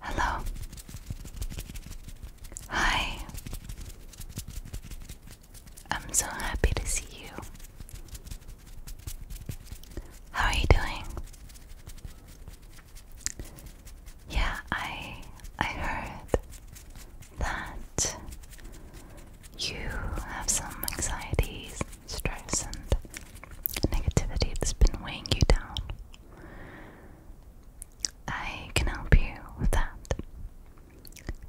Hello. Hi. I'm so happy to see you. How are you doing? Yeah, I I heard that you have some anxieties, stress and negativity that's been weighing you down. I can help you with that.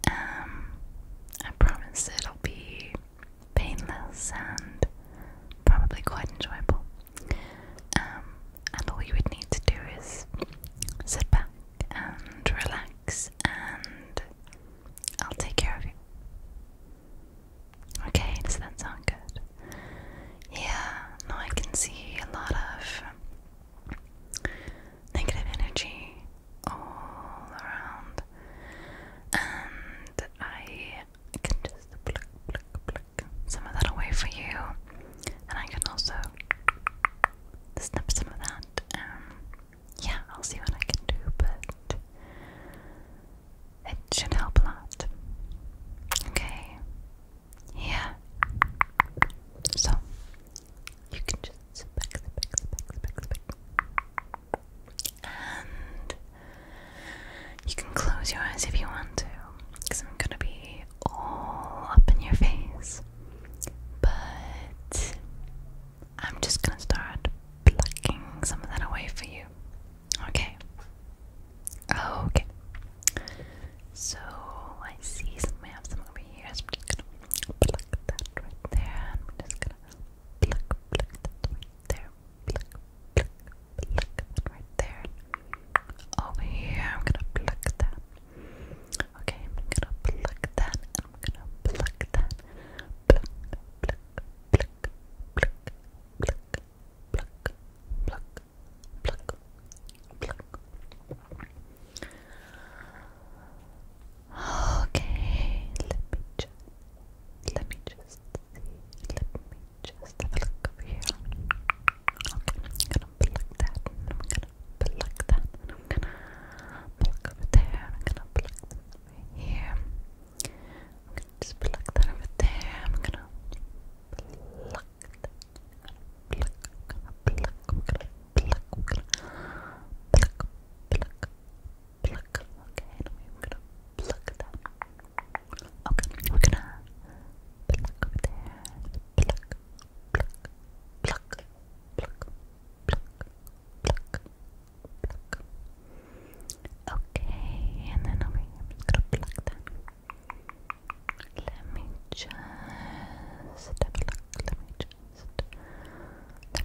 Um, I promise it'll be painless and probably quite enjoyable. Um, and all you would need to do is sit back and relax, and I'll take care of you. Okay, does that sound good? Yeah, now I can see a lot of negative energy all around, and I can just pluck, pluck, pluck some of that away for you, and I can also snip some of that. Um, yeah, I'll see what I can do, but it should help a lot. Okay. Yeah. So you can just sit back, sit sit back. And you can close your eyes if you want to, because I'm gonna be all up in your face. But I'm just gonna start plucking some of that away for you. Okay. Okay. So I see some we have some over here. I'm just gonna pluck that right there. I'm just gonna pluck pluck that right there. Pluck pluck that right there. Over here I'm gonna pluck that. Okay, I'm gonna pluck that I'm gonna pluck that. Pluck pluck pluck pluck pluck pluck pluck pluck, pluck. Okay, let me just, let me just see, let me just look over here. I'm gonna pluck that, I'm gonna pluck that, I'm gonna pluck over there, I'm gonna pluck here. I'm gonna just pluck that over there. I'm gonna pluck pluck. Okay, we're gonna pluck that. Okay, we're gonna pluck over there. Pluck, pluck, pluck, pluck, pluck, pluck, pluck. Okay, and then over here, gonna pluck that. Let me just Let me just. Let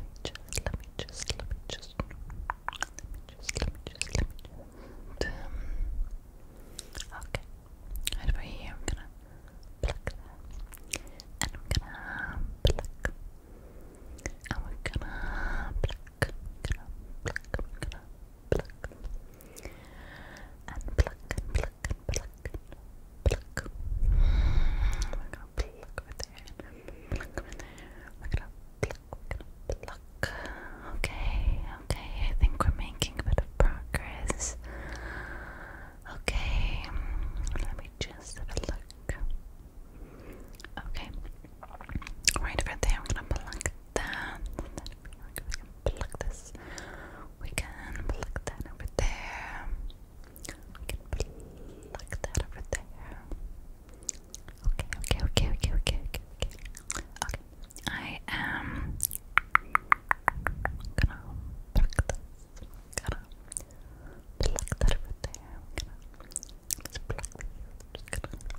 me just. Let me just. Let me just. Let me just. Let me just. Let me just. Um, okay. over here, I'm gonna pluck and I'm gonna pluck, and we're gonna pluck, gonna pluck, pluck, and pluck, and pluck, and pluck, and pluck. We're gonna pluck over there, We're gonna pluck, we're gonna pluck. Okay, okay, I think we're making a bit of progress. Okay, let me just have Okay, right over there, I'm gonna pluck that. We can pluck this. We can pluck that over there. We can pluck that over there. Okay, okay, okay, okay, okay, okay, okay. I am gonna pluck this. Gonna pluck that over there. just gonna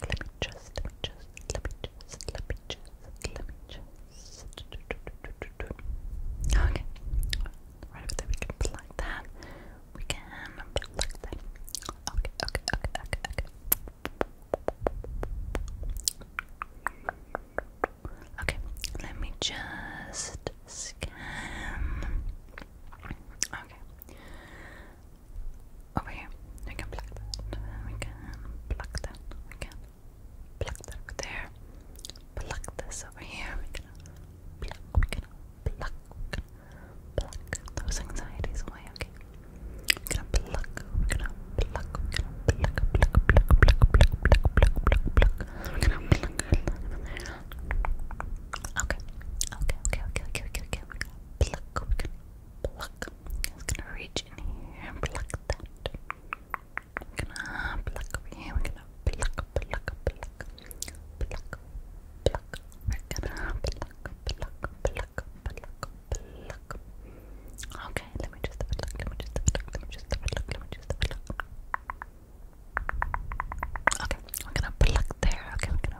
let me just, just, let me just, let me just, let me just. Okay. Right over there, we can plug that. We can plug that. Okay, okay, okay, okay, okay. Okay, let me just scan. Okay over here. We can pluck that. We can pluck that. We can pluck that there. Pluck this over here. We can pluck. We can pluck. We can pluck those anxieties away. Okay. We're gonna pluck. We're gonna pluck. We're gonna pluck. Pluck. Pluck. Pluck. Pluck. Pluck. Pluck. Pluck. Pluck. We're gonna pluck. Okay. Okay. Okay. Okay. Okay. Okay. We're gonna pluck pluck. gonna reach in here and pluck that. We're gonna pluck here. We're gonna pluck, pluck, pluck, pluck, pluck. We're gonna pluck, pluck, pluck, pluck, pluck. Okay, let me just pluck. Let me just pluck. Let me just pluck. Let me just pluck. Okay, we're gonna pluck there. Okay, we're gonna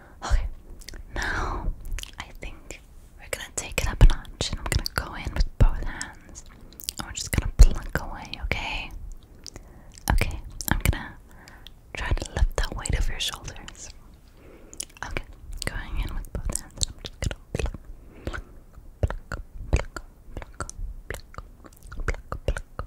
Okay, now I think we're gonna take it up a notch I'm gonna go in with both hands and we're just gonna pluck away, okay? Okay, I'm gonna try to lift that weight of your shoulders. Okay, going in with both hands, I'm just gonna pluck, pluck, pluck, pluck, pluck, pluck, pluck, pluck, pluck,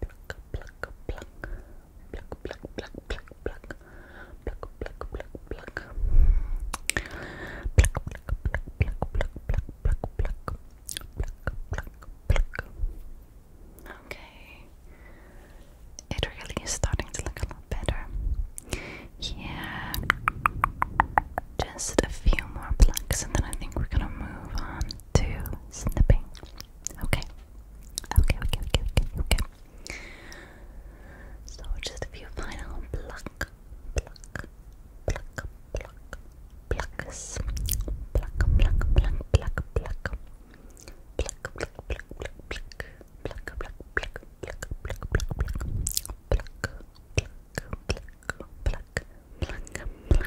pluck, pluck, pluck, pluck, pluck, pluck, pluck, pluck, pluck, pluck, pluck, pluck, pluck, pluck, pluck, pluck, pluck, pluck. Pluck, pluck, pluck. Okay. It really is starting to look a lot better. Yeah. Just a few more plucks and then I think we're gonna move on to snipping. Okay. Okay, okay, okay, okay, So just a few final pluck, pluck, pluck, pluck, plucks. Pluck, pluck, pluck, pluck, pluck. Pluck, pluck, pluck, pluck, pluck. Pluck, pluck, pluck, pluck, pluck, pluck, pluck. Pluck, pluck, pluck, pluck, pluck, pluck, pluck, pluck,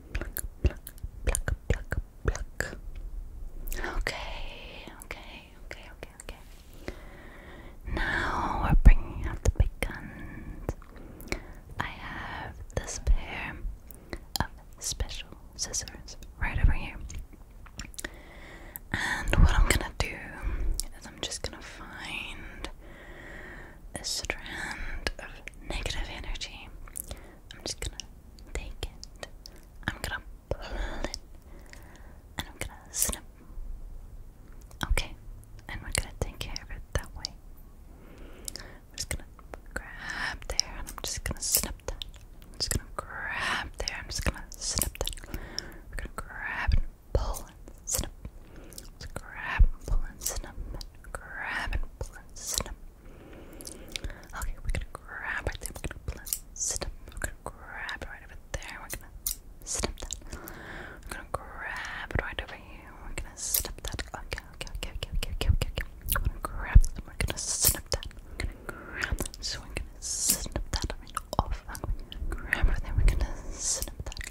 Okay, okay, okay, okay, okay. Now we're bringing out the big guns. I have this pair of special scissors right over here. And what I'm gonna do is I'm just gonna find a strand of negative energy. I'm just gonna take it. I'm gonna pull it. And I'm gonna snip. Okay. And we're gonna take care of it that way. I'm just gonna grab there and I'm just gonna snip that. I'm just gonna grab there. I'm just gonna snip that. We're gonna grab and pull and snip grab and snip. Grab and snip. Okay, we're gonna grab right there. We're gonna snip. We're gonna grab right over there. We're gonna snip that. We're gonna grab right over here. We're gonna snip that. Okay, okay, okay, okay, okay, okay, okay. okay. We're gonna grab that. We're gonna snip that. We're gonna grab that. So we're gonna snip that. off. We're gonna grab it. we're gonna snip that.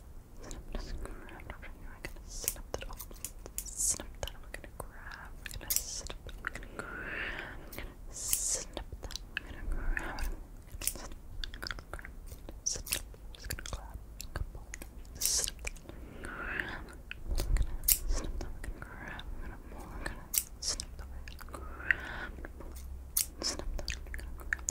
Snip, just grab. I'm gonna snip that off. Snip that. I'm gonna grab. I'm gonna snip. I'm gonna grab. I'm gonna snip that. I'm gonna grab. Snip. I'm gonna grab. Snip. I'm just gonna grab. Couple. Snip that. Grab. I'm gonna snip that. I'm gonna grab. I'm gonna pull. I'm gonna snip that. Grab. Snip that. I'm gonna grab.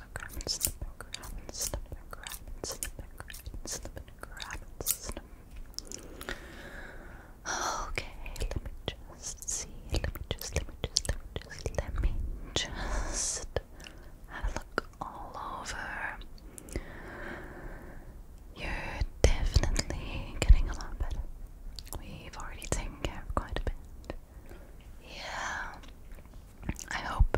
Okay, let me just see. Let me just, let me just, let me just, let me just have a look all over. You're definitely getting a lot better. We've already taken care of quite a bit. Yeah. I hope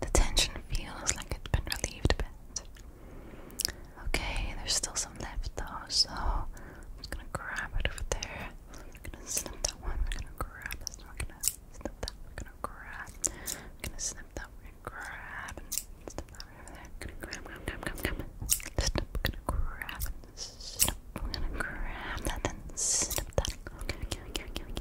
the tension feels like it's been relieved a bit. Okay, there's still some left though, so I'm gonna grab it over there. We're gonna snip that one, we're gonna grab this, one. we're gonna snip that, we're gonna grab, we're gonna snip that, we're gonna grab, and snip that over there. gonna grab, grab, grab, grab, grab, snip, we're gonna grab, snip, we're gonna grab that, then snip that. Okay, okay, okay, okay,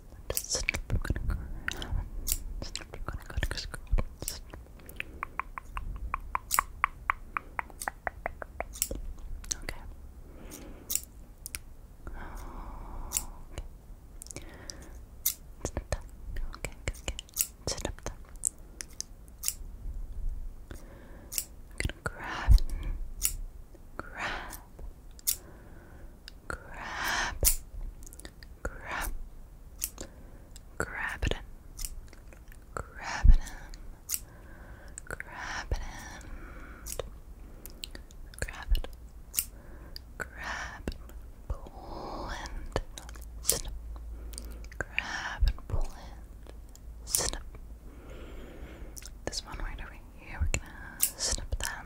snip, we're gonna grab, snip, we're gonna go to scrub, Okay. Okay. Snip that. Okay, good, good. Snip that. i gonna grab, grab, grab, grab, grab it in, grab it in, grab it in, grab it, grab and pull and snip, grab and pull in, snip. This one right over here, we're gonna snip that.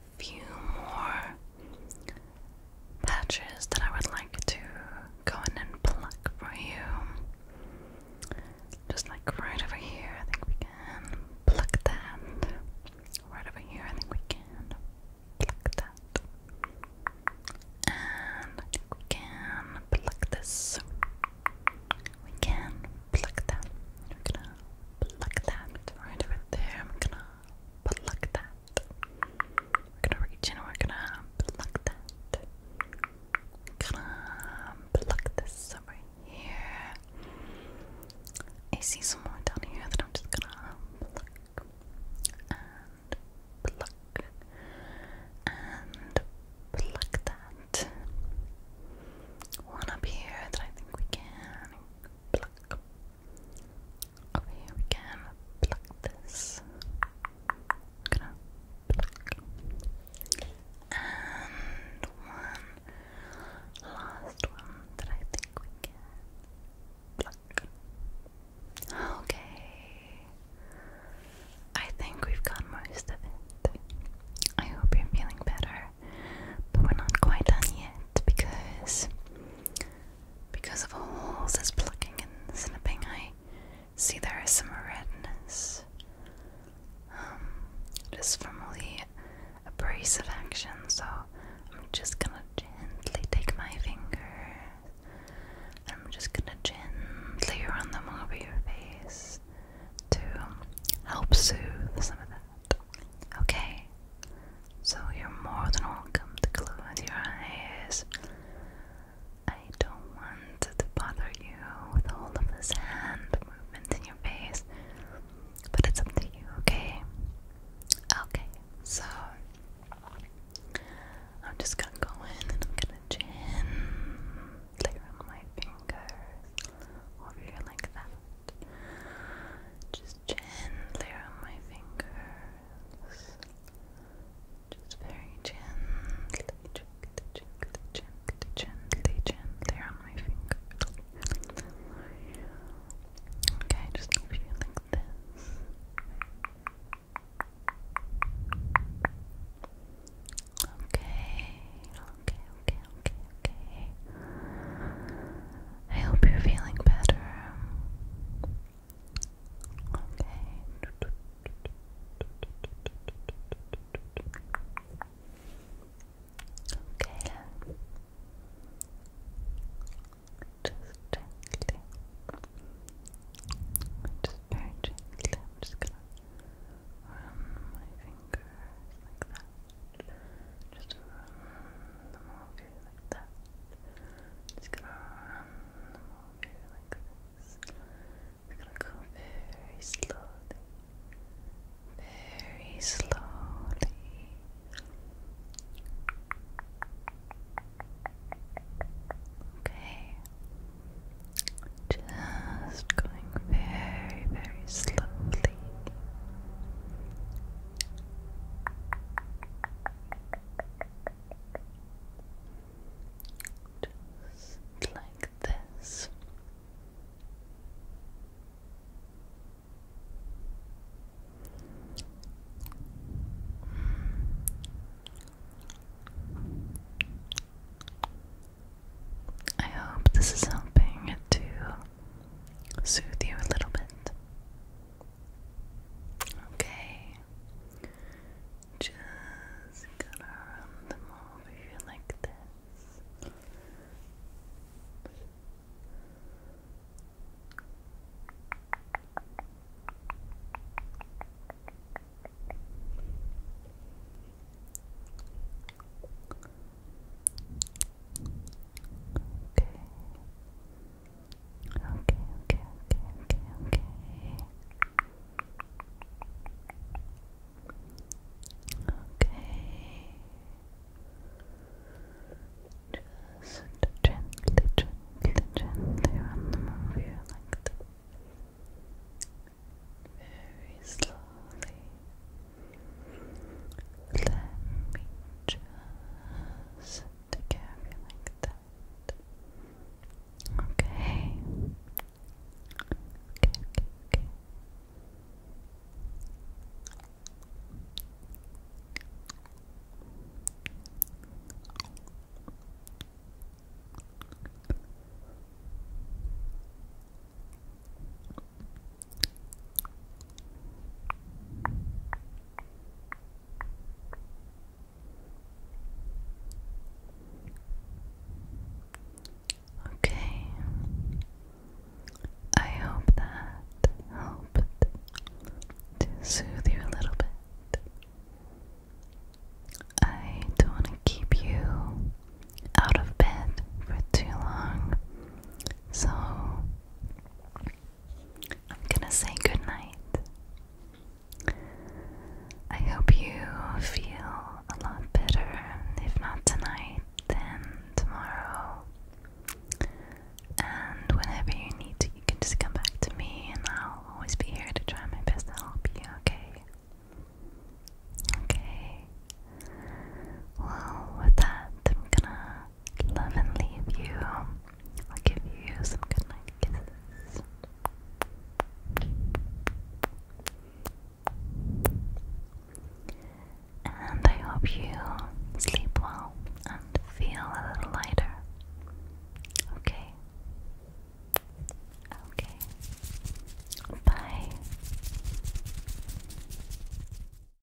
few more patches that I would like to go in and pluck for you. Just like right over here, I think we can pluck that. Right over here, I think we can pluck that. And I think we can pluck this. We can pluck that. I'm gonna pluck that right over there. I'm gonna pluck that. We're gonna reach in. We're gonna pluck that. gonna pluck this over here. I see some more down here that I'm just gonna pluck and pluck and pluck that one up here that I think we can here we can pluck this. And one last one that I think we can pluck. Okay. I think we've got most of it. I hope you're feeling better. But we're not quite done yet because because of all this plucking and snipping, I see there is some redness. Um, just from all the abrasive action, so I'm just gonna gently take my finger. I'm just gonna gently run them over your face to help soothe some of that. Okay, so you're more than welcome to close your eyes. I don't want to bother you with all of this hand movements in your face, but it's up to you, okay? Okay, so I'm just gonna go in and I'm gonna gently run my fingers over here like that. Just gently on my fingers. Just very gently, gently, gently, gently, gently, gently on my fingers. Okay, just over here like this. Okay, okay, okay, okay, okay. I hope you're feeling better. Okay. Okay. Just gently. Just very gently. just gonna run my fingers like that. Just run them over you like that. Just gonna run them over you like this. We're gonna go very slowly. Very slowly. Okay. Just going very, very slowly like this. I hope this is helping too soothe you a little bit. Okay. Just gonna run them over here like this okay, okay, okay, okay, okay. Just gently, gently, gently on the move like Very slowly. Let me just take you that. Okay, okay, okay. Okay. Okay, I hope that helped to soothe you a little bit. I don't want to keep you out of bed for too long, so I'm gonna say good night. I hope you feel a lot better, if not tonight, then tomorrow. And whenever you need you can just come back to me, and I'll always be here to try my best to help you, okay? Okay. Well, with that, I'm gonna love and leave you. I'll give you some good kisses. And I hope you sleep well and feel a little lighter. Okay. Okay. Bye.